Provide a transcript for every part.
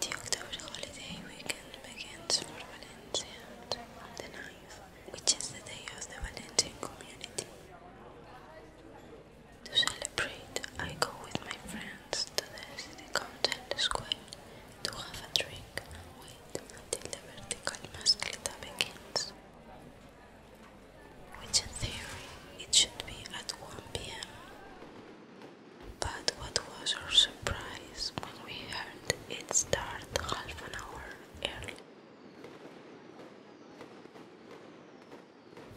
The October holiday weekend begins for Valencians on the 9th, which is the day of the Valencian community. To celebrate, I go with my friends to the city council square to have a drink wait until the vertical mascleta begins, which in theory it should be at 1 pm. But what was our surprise when we heard it start half an hour early?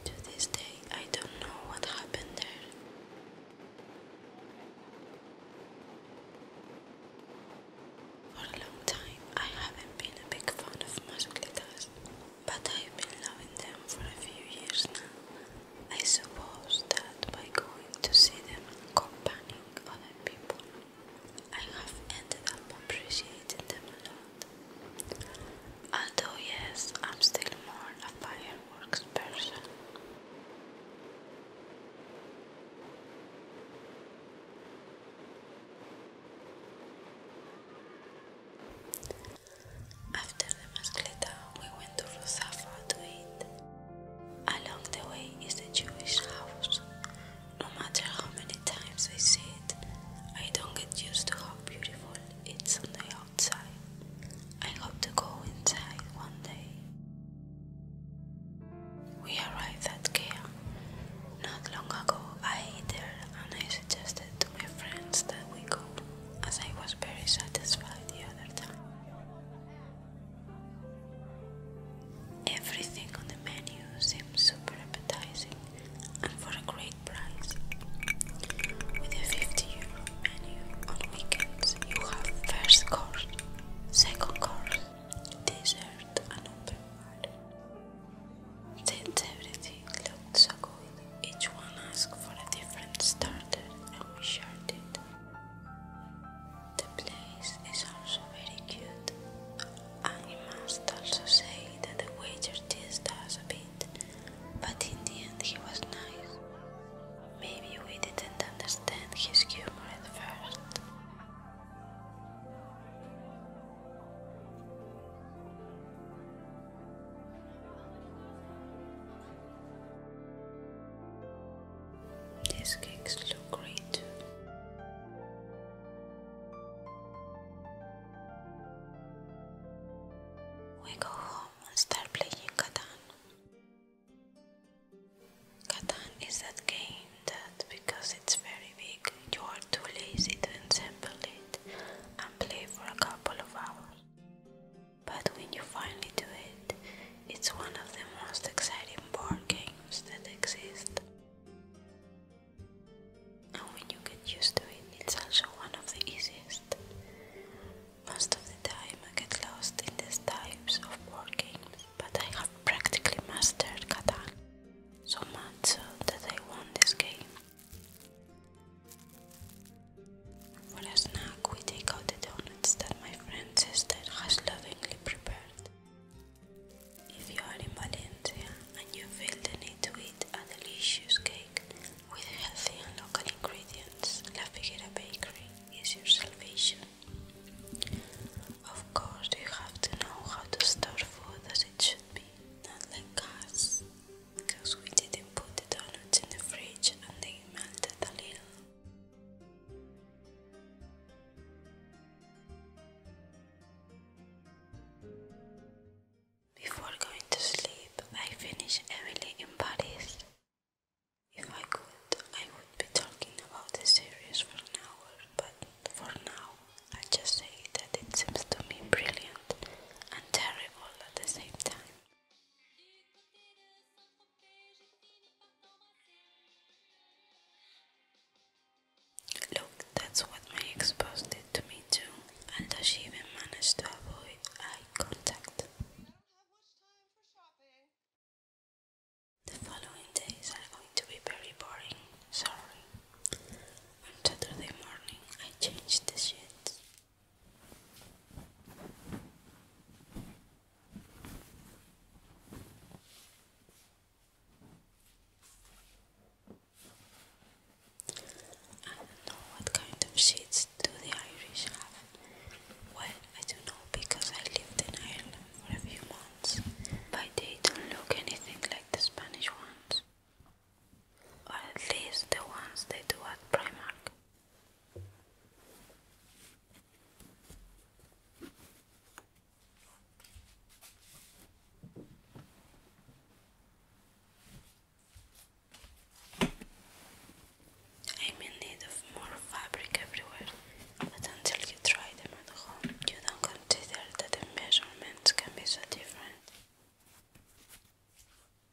To this day, I don't know what happened there. For a long time, I haven't been a big fan of musculitas but I've been loving them for a few years now. I suppose that by going to see them accompanying other people, I have ended up appreciating them a lot. Although, yes, I'm still more a fireworks person. After the mascleta, we went to Rosafa to eat. Along the way is the Jewish house. No matter how many times I see it, I don't get used to how beautiful it's on the outside. I hope to go inside one day. We arrived at Kea. Not long ago, I ate there and I suggested to my friends that we go, as I was very satisfied the other time. Everything on the menu seems super appetizing and for a great price. With a 50 euro menu on weekends, you have first course, second course, dessert, and open bar. Since everything includes a coin. Each one asked for a different starter and we shared it. The place is also very cute and I must also say that the waiter teased us a bit, but in the end he was nice. Maybe we didn't understand his humor at first. These cakes look great too. We go home and start playing Catan. Catan is that game that, because it's very big, you are too lazy to assemble it and play for a couple of hours. But when you finally do it, it's one of the most exciting board games that exist. And when you get used to it, it's also one of the easiest. Most of the time I get lost in these types of board games, but I have practically mastered Catan so much so that I won this game. For a snack, we take out the donuts that my friend sister has lovingly prepared. If you are in Valencia and you feel the need to eat a delicious cake with healthy and local ingredients, La Figuera Bakery is your salvation. Of course, you have to know how to store food as it should be, not like us because we didn't put the donuts in the fridge and they melted a little. Before going to sleep, I finish Emily in Paris. If I could, I would be talking about the series for an hour, but for now, I just say that it seems to me brilliant and terrible at the same time. Look, that's what my ex posted to me too, and she even managed to avoid eye contact. The following days are going to be very boring, sorry. On Saturday morning, I changed the sheets I don't know what kind of sheets do the Irish have. Well, I do not know because I lived in Ireland for a few months, but they don't look anything like the Spanish ones or at least the ones they do at Primark. I'm in need of more fabric everywhere, but until you try them at home, you don't consider that the measurements can be so different.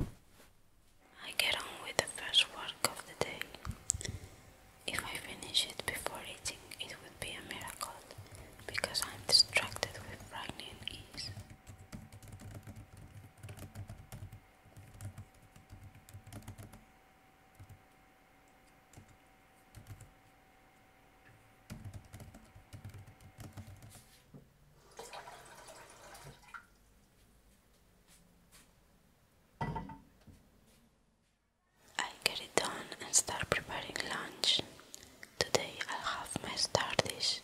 I get on with the first work of the day. If I finish it before eating, it would be a miracle because I'm distracted with writing. ease. I get it done and start preparing lunch. Today I'll have my star dish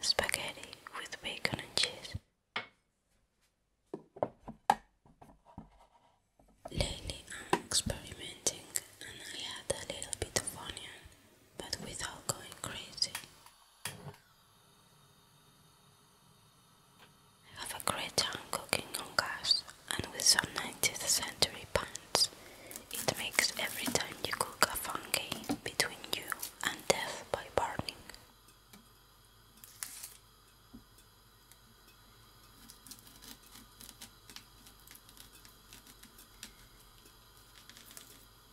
spaghetti with bacon and cheese. Lately I'm experimenting and I add a little bit of onion, but without going crazy. Have a great time cooking on gas and with some 19th century pans. It makes every time you cook a fun between you and death by burning.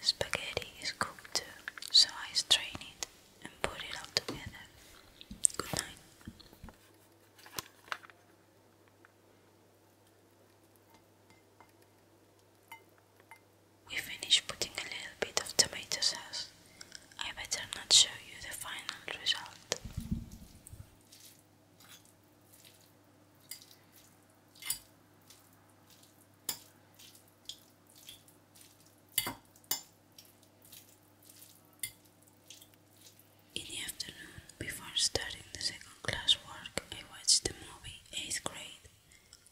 spaghetti is cooked so I strain it and put it all together. Good night. We finish putting a little bit of tomato sauce. I better not show you the final result. In the afternoon, before starting the second class work, I watched the movie 8th grade,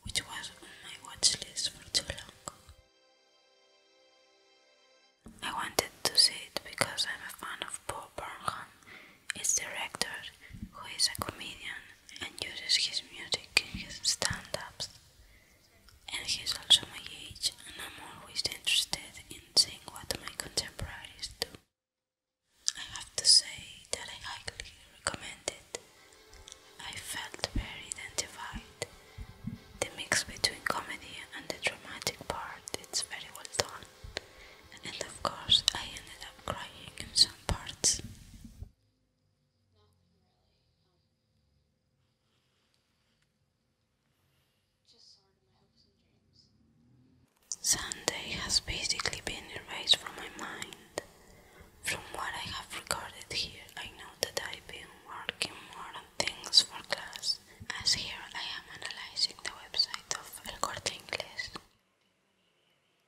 which was on my watch list for too long. I wanted to see it because I'm a fan of Paul Burnham, its director, who is a comedian and uses his music in his stand ups. And he's also my age, and I'm always interested in seeing what my contemporaries do. I have to say that I highly recommend it. I felt very identified. The mix between comedy and the dramatic part its very well done, and of course, I ended up crying in some parts. Sunday has basically been erased from my mind. From what I have recorded here, I know that I've been working more things for class, as here I am analyzing the website of El Corte Inglés.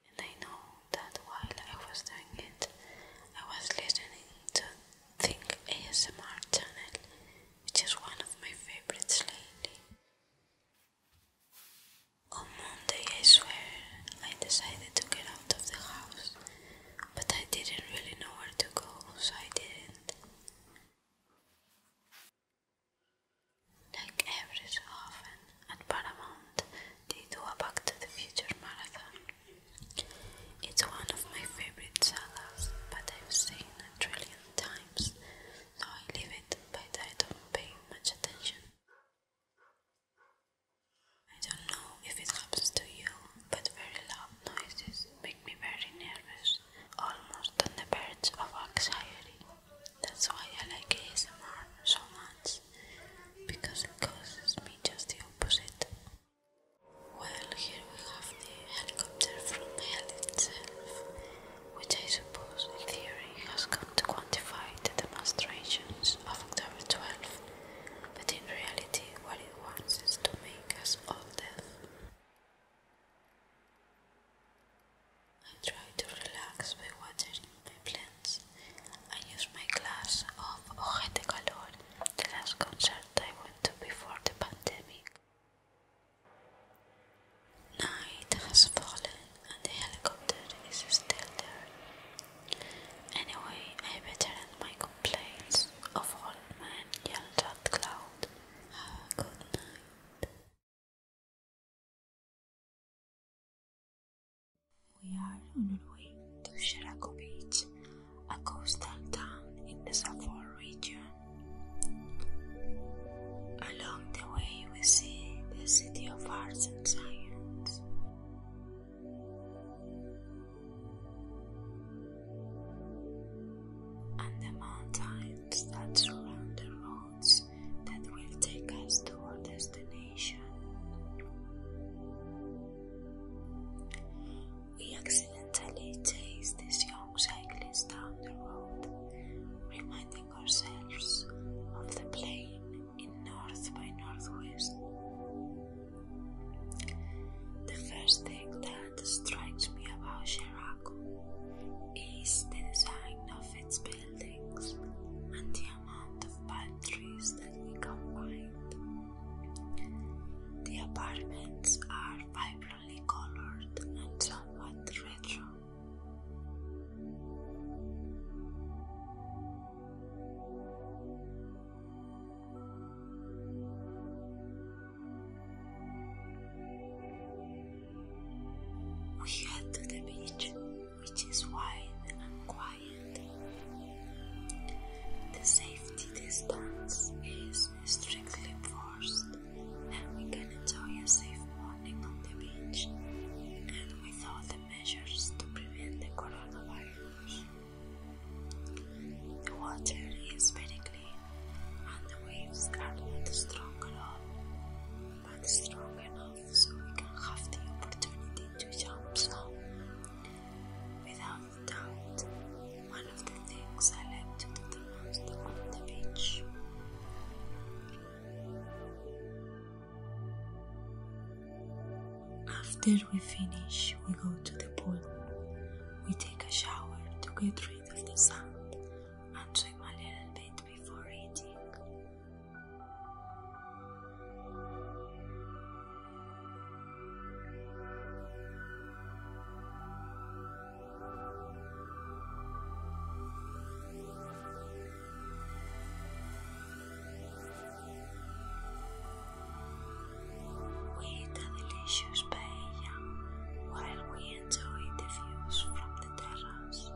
And I know that while I was doing it, I was listening to Think ASMR channel, which is one of my favorites lately. On Monday, I swear, I decided to get out of the house but I didn't really know where to go, so I didn't. Like every so often at Paramount, they do a Back to the Future marathon. It's one of my favorite salas, but I've seen a trillion times, so I leave it, but I don't pay much attention. I don't know if it happens to you, but very loud noises make me very nervous, almost on the verge of anxiety. That's why I like ASMR so much, because it causes me just the opposite. Well, here we have the helicopter from hell itself, which I suppose in theory has come to quantify the demonstrations of October 12, but in reality, what he wants is to make us all deaf. I try to relax by watering my plants. I use my glass of Ojete Calor, the last concert I went to before the pandemic. Night has fallen and the helicopter is still there. Anyway, I better end my complaints of all men at Cloud. good night. We are on our way to Sherako Beach, a coastal town in the Safor region. Along the way, we see the city of arts and science and the mountains that surround the roads that will take us to our destination. We accidentally chase this young cyclist down the road, reminding ourselves of the plane in North by Northwest. The first thing that strikes me about Sheraco is the design of its buildings and the amount of palm trees that we can find. The apartments are vibrantly colored and somewhat retro. We head to the beach, which is wide and quiet. The safety distance is strictly enforced, and we can enjoy a safe morning on the beach and with all the measures to prevent the coronavirus. The water is very clean, and the waves are not strong at but strong enough so we can have the opportunity to jump some. Without doubt, one of the things I like the most on the beach. After we finish, we go to the pool. We take a shower to get rid of the sand and swim a little bit before eating. With a delicious paella while we enjoy the views from the terrace.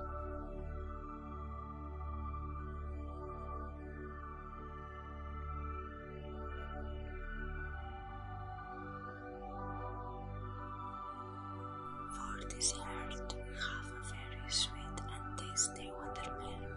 For dessert, we have a very sweet and tasty watermelon.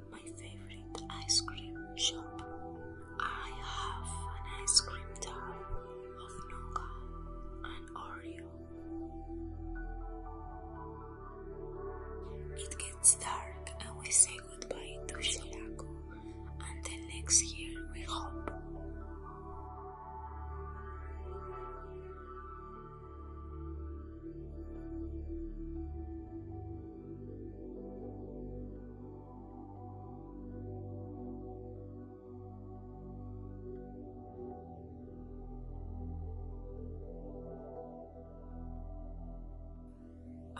my favorite ice cream shop. I have an ice cream jar of nougat and Oreo. It gets dark and we say goodbye to Shirako. And until next year we hope.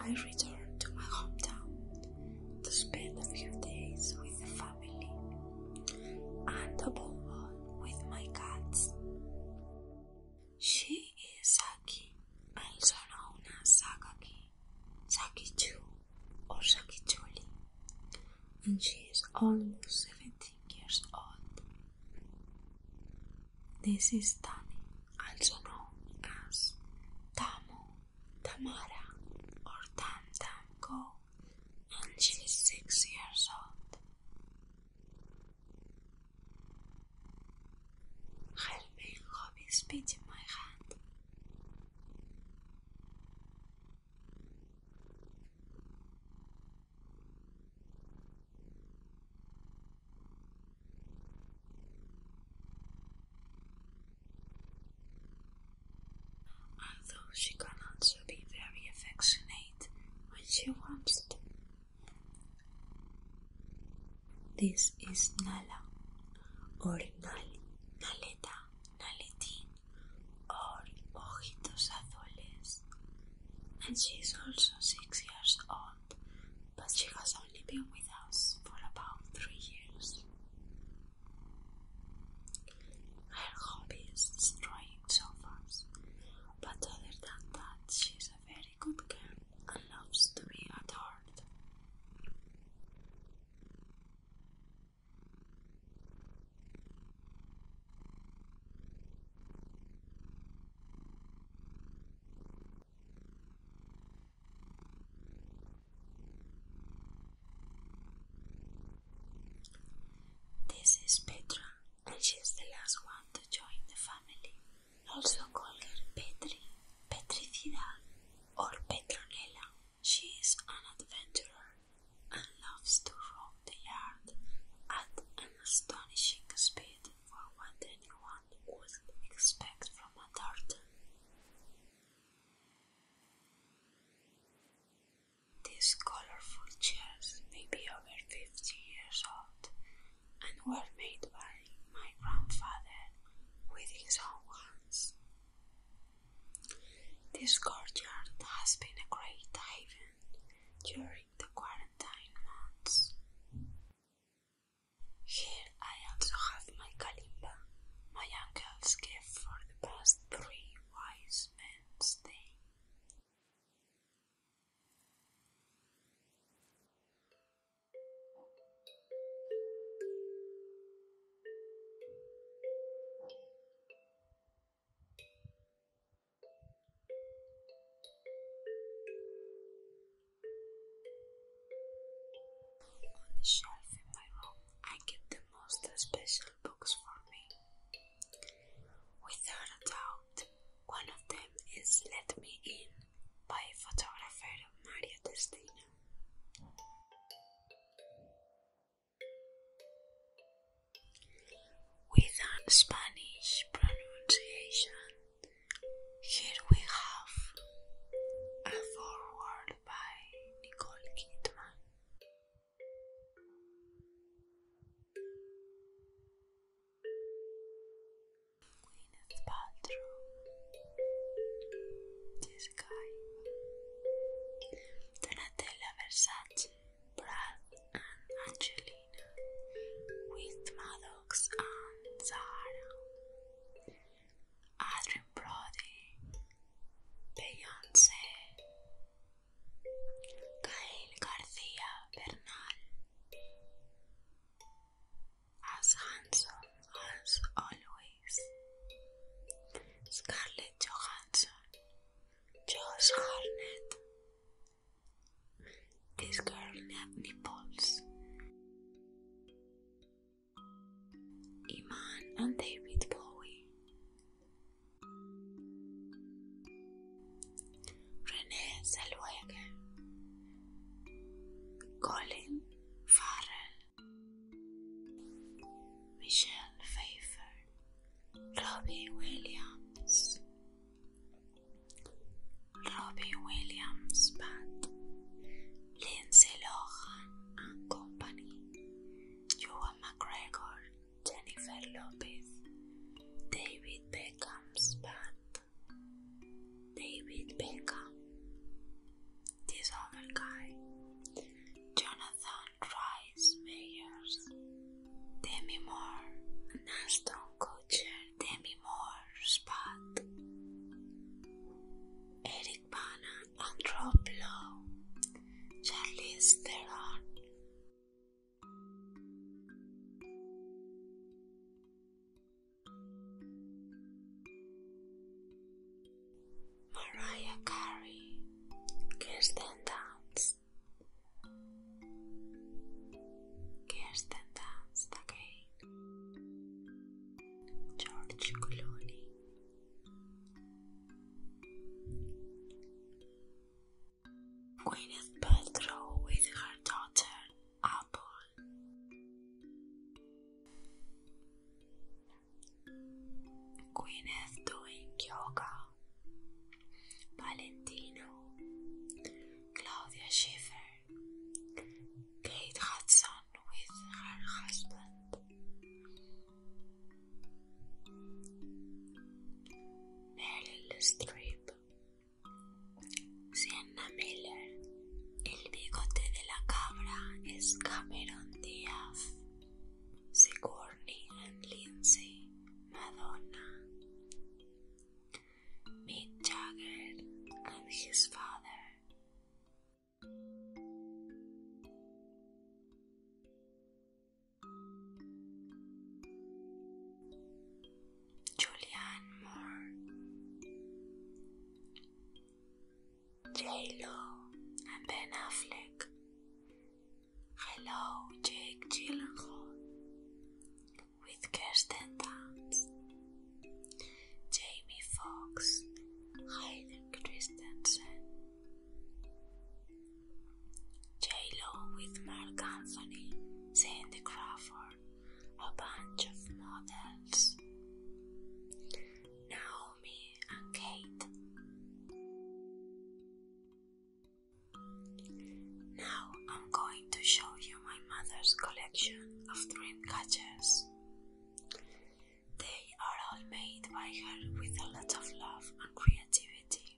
I returned to my hometown to spend a few days with the family and a all with my cats. She is Saki, also known as Sakaki, Sakichu, or Sakichuli, and she is almost 17 years old. This is Tammy. also known as Tamu, Tamara, or Tam Tam Go, and she is 6 years old. I've been loving in my hand. Although she can also be very affectionate when she wants to. This is Nala or Nali, Naleta, Naletín or Ojitos Azules. And she is also six years old, but she has only been with us for about three years. Her hobby is destroying sofas, but other than that, she's very good girl loves to be adored. This is Petra, and she's the last one to join the family family, also called Petri, Petricidad, or Petronella. She is an adventurer and loves to roam the yard at an astonishing speed for what anyone would expect from a dart. These colorful chairs may be over fifty years old and were made by my grandfather with his own hands. This courtyard has been a great haven during the quarantine months. Here I also have my kalimba, my uncle's gift for the past three wise men's day. On the shelf in my room, I keep the most special books for me. Without a doubt, one of them is Let Me In by photographer Mario Testino. With an Spanish pronunciation, here we have a foreword by Nicole Kidman. Gwyneth's bathroom. This Donatella Versace, Brad and Angelina, with Maddox and Zahara. Adrian Brody, Beyonce, Gael García Bernal as handsome as always Scarlett Johansson Josh Harnett This girl had nipples Iman and David Bowie Renee Zellweger, Colin Farrell, Michelle Pfeiffer, Robbie Williams, Robbie Williams Band, Lindsay Lohan and Company, Joan McGregor Jennifer Lopez, David Beckham's bat, David Beckham, this other guy, Jonathan Rice Meyers, Demi Moore, and Aston Kutcher, Demi Moore's bat, Eric Bana and Rob Lowe, Charlize Theron. Mariah Carey, Kirsten Dunst, Kirsten Dunst again, George Clooney, Gwyneth Petro with her daughter Apple. Gwyneth doing yoga. Valentino. Claudia Schiffer. Kate Hudson with her husband. Meryl Streep. Sienna Miller. El bigote de la cabra es Cameron Diaz. Sigourney and Lindsay, Madonna. Mick Jagger and his father. Julianne Moore, J Lo and Ben Affleck. Hello, Jake Gyllenhaal with Kirsten Dunst, Jamie Fox, Hayden Christensen, J-Lo with Mark Anthony, Cindy Crawford, a bunch of models, Naomi and Kate. Now I'm going to show you my mother's collection of dream catchers. They are all made by her with a lot of love and creativity.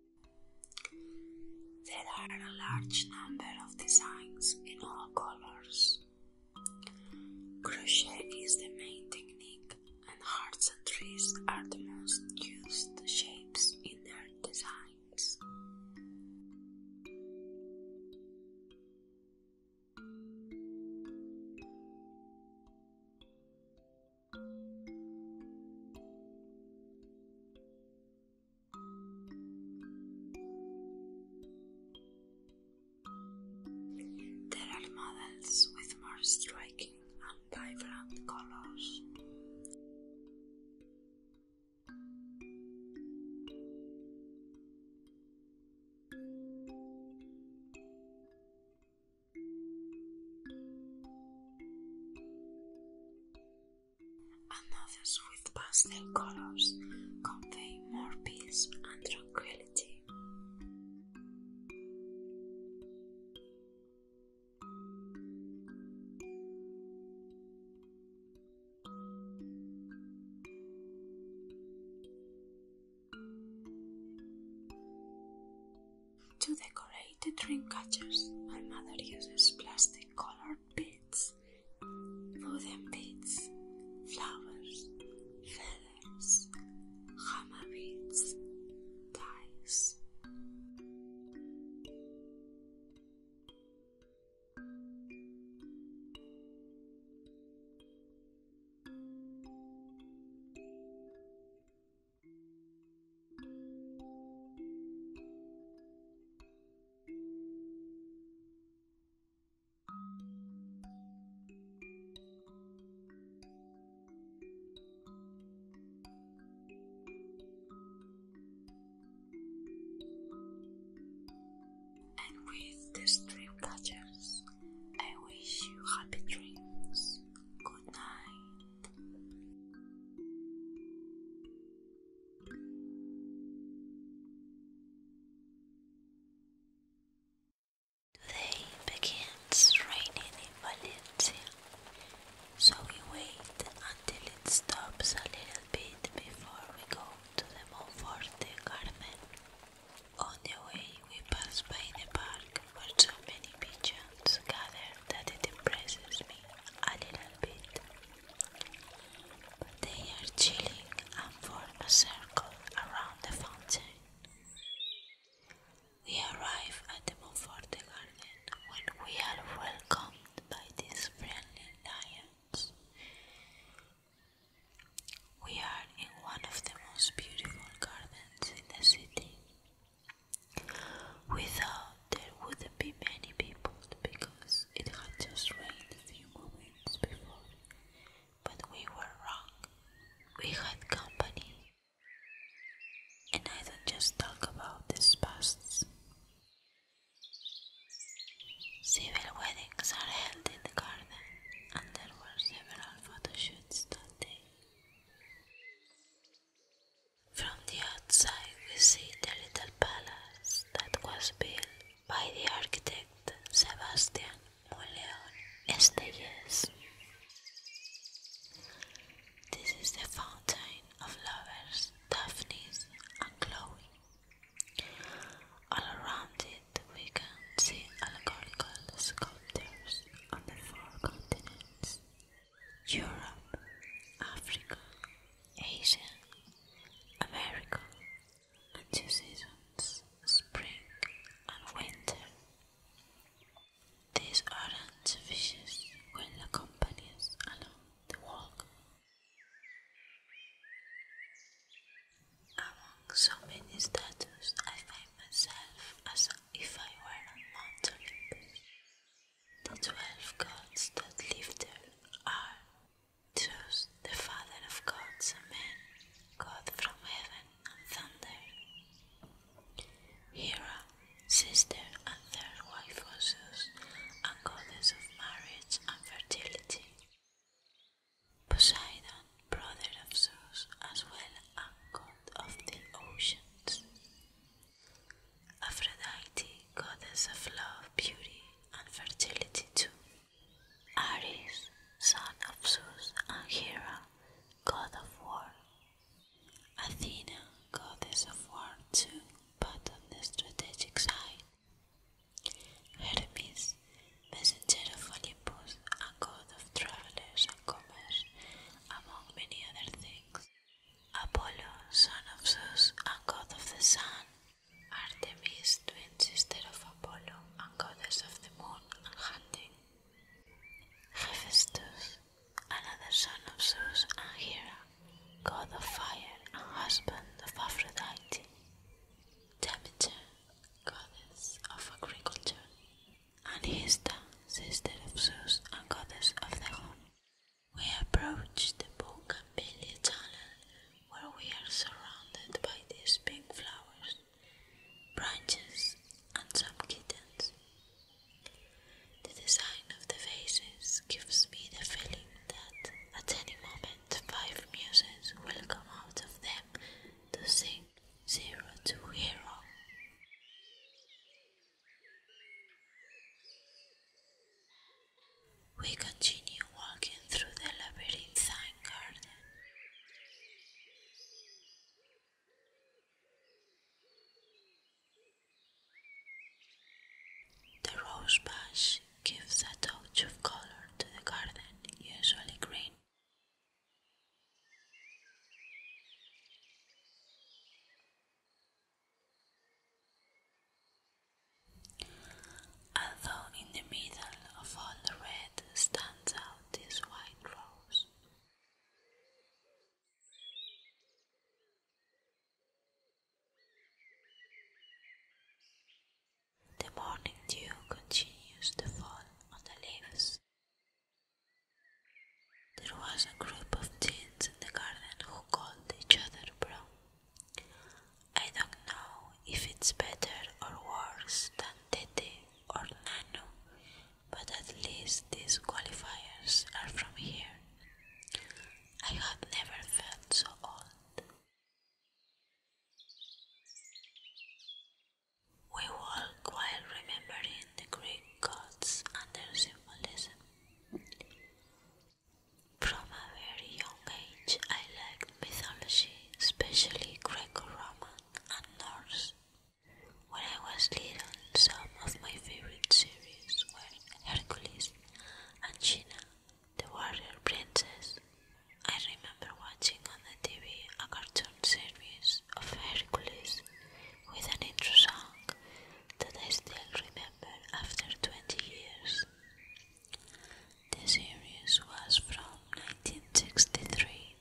There are a large number of designs in all colors. Crochet is the main technique, and hearts and trees are the most used shapes in their designs. There are models with more striking and vibrant colors others with pastel colors convey more peace and tranquility. To decorate the drink catchers, my mother uses plastic colored beads, wooden beads, flowers, feathers, hammer beads, and with these dream catchers, I wish you happy dreams. Good night. They begins raining in Valencia, so we wait until it stops a little bit before we go to the Monforte Garden. On the way, we pass by the park where so many pigeons Together, that it impresses me a little bit. But they are chilling and form a circle around the fountain. We arrive at the Montfort garden when we are welcomed by these friendly lions. We are in one of the most beautiful gardens in the city. We thought there wouldn't be many people because it had just rained a few moments before. But we were wrong. We had company. And I don't just talk about these pasts. Civil weddings are held in the garden, and there were several photo shoots that day. From the outside, we see the little palace that was built by the architect Sebastian Muleon Estelles. This is the fountain of lovers, Daphnis and Chloe. All around it, we can see allegorical sculptures on the four continents. Europe, Africa, Asia, America, and two seasons, spring and winter. These orange fishes will accompany us along the walk. Among so many statues, I find myself as if I were on Mount Olympus. The twelve gods that live there are Zeus, the father of gods and men, God from heaven and thunder. Hera, sister and third wife of Zeus, and goddess of marriage and fertility. Poseidon, brother of Zeus, as well and god of the oceans. Aphrodite, goddess of love, beauty, and fertility too. Ares, son of Zeus and Hera, god of war. Athena, goddess of war too, but on the strategic side. Hermes, messenger of Olympus and god of travelers and commerce, among many other things. Apollo, son of Zeus and god of the sun, Artemis, twin sister of Apollo and goddess of the moon and hunting, Hephaestus, another son of Zeus and Hera, god of fire and husband of Aphrodite, Demeter, goddess of agriculture, and Hista, sister of Zeus and goddess of the home. We approach the Bougainvillea Tunnel, where we are surrounded by these pink flowers, branches, and some kittens. The design of the faces gives me the feeling that at any moment five muses will come out of them to sing Zero to Hero. We continue walking through the labyrinthine garden. The rose bush gives a touch of color to the garden, usually green. Although in the middle of all the red stands out this white rose. The morning dew continues to fall on the leaves there was a group of teens in the garden who called each other bro. I don't know if it's better or worse than Tete or Nano, but at least these qualifiers are from here. I have never felt so old. We walk while remembering the Greek gods and their symbolism. From a very young age, I liked mythology, especially Greco Roman and Norse. When I was little, some of my favorite series were Hercules and China, the warrior princess. I remember watching on the TV a cartoon series of Hercules with an intro song that I still remember after 20 years. The series was from 1963,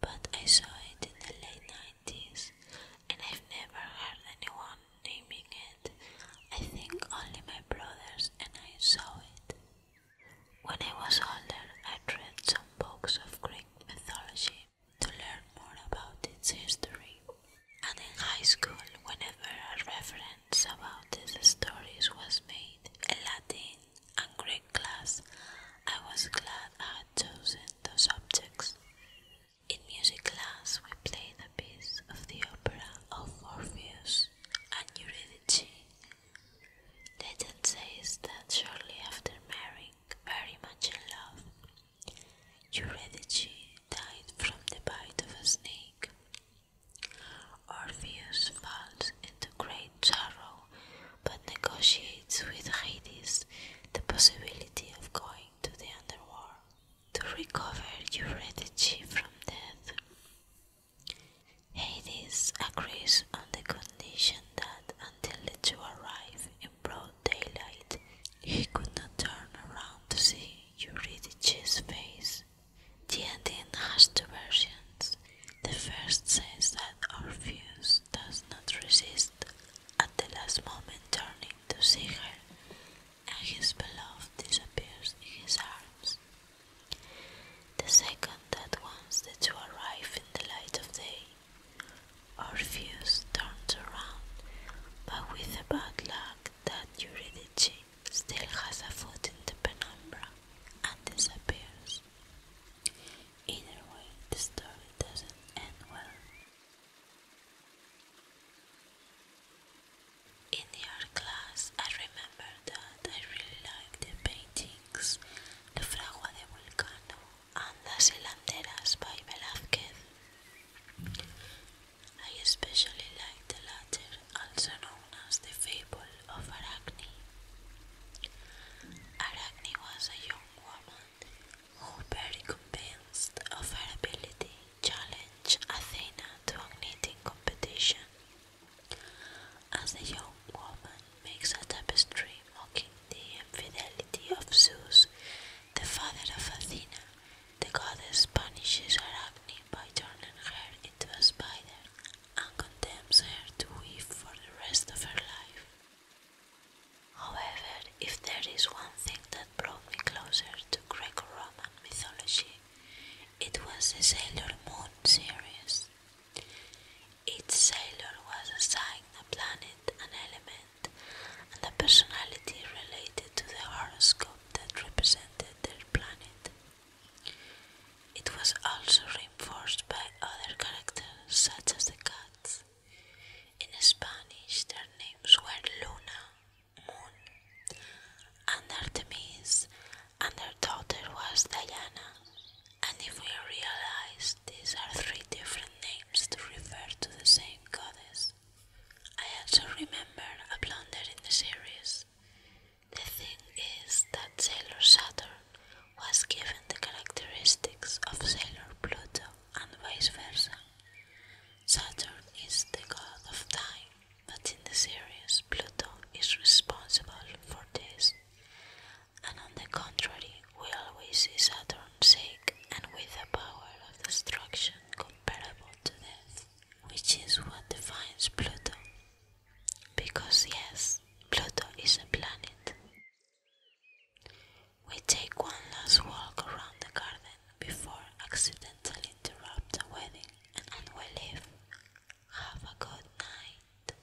but I saw it in the late 90s and I've never heard anyone naming it. I think only my brothers and I saw it. When I was older, I read some books of Greek mythology to learn more about its history. And in high school, whenever a reference about these stories was made, in Latin and Greek class, I was glad I had chosen those subjects. In music class, we played a piece of the opera of Orpheus and Eurydice. Legend says that shortly after marrying, very much in love, Eurydice died from the bite of a snake. Orpheus falls into great sorrow but negotiates with Hades the possibility of going to the underworld to recover Eurydice from death. Hades agrees on the condition that until the two arrive broad daylight. He could not turn around to see Eurydice's face. The ending has two versions. The first says that Orpheus does not resist at the last moment turning to see her, and his beloved disappears in his arms. The second that once the two arrive in the light of day, Orpheus turns around, but with the bad luck that Eurydice still has a foot in the penumbra, and disappears. Either way, the story doesn't end well. In art class, I remember that I really liked the paintings, the Fragua de Vulcano Andas y by Velázquez. I especially like the latter, also known as the fable of Arachne. Arachne was a young woman who, very convinced of her ability, challenged Athena to a knitting competition. As a young woman makes a tapestry mocking the infidelity of Zeus, the father of Athena, the goddess punishes Arachne by turning her into a spider and condemns her to weave for the rest of her life. However, if there is one thing that brought me closer to Greco Roman mythology, it was the Sailor Moon series. Each sailor was assigned a planet, an element, and a personality related to the horoscope that represented their planet. It was also reinforced by other characters such as the cats. In Spanish, their names were Luna, Moon, and Artemis, and their daughter was Diana. And if we realize these are three different names to refer to the same goddess. I also remember a blunder in the series. The thing is that Sailor Saturn was given the characteristics of Sailor Pluto and vice versa. Saturn is the god of time, but in the series, Pluto is responsible for this, and on the contrary, we always see Saturn sick and with a power of destruction comparable to death, which is what defines Pluto. Because, yes, Pluto is a planet. We take one last walk around the garden before accidentally interrupt a wedding, and we leave. Have a good night.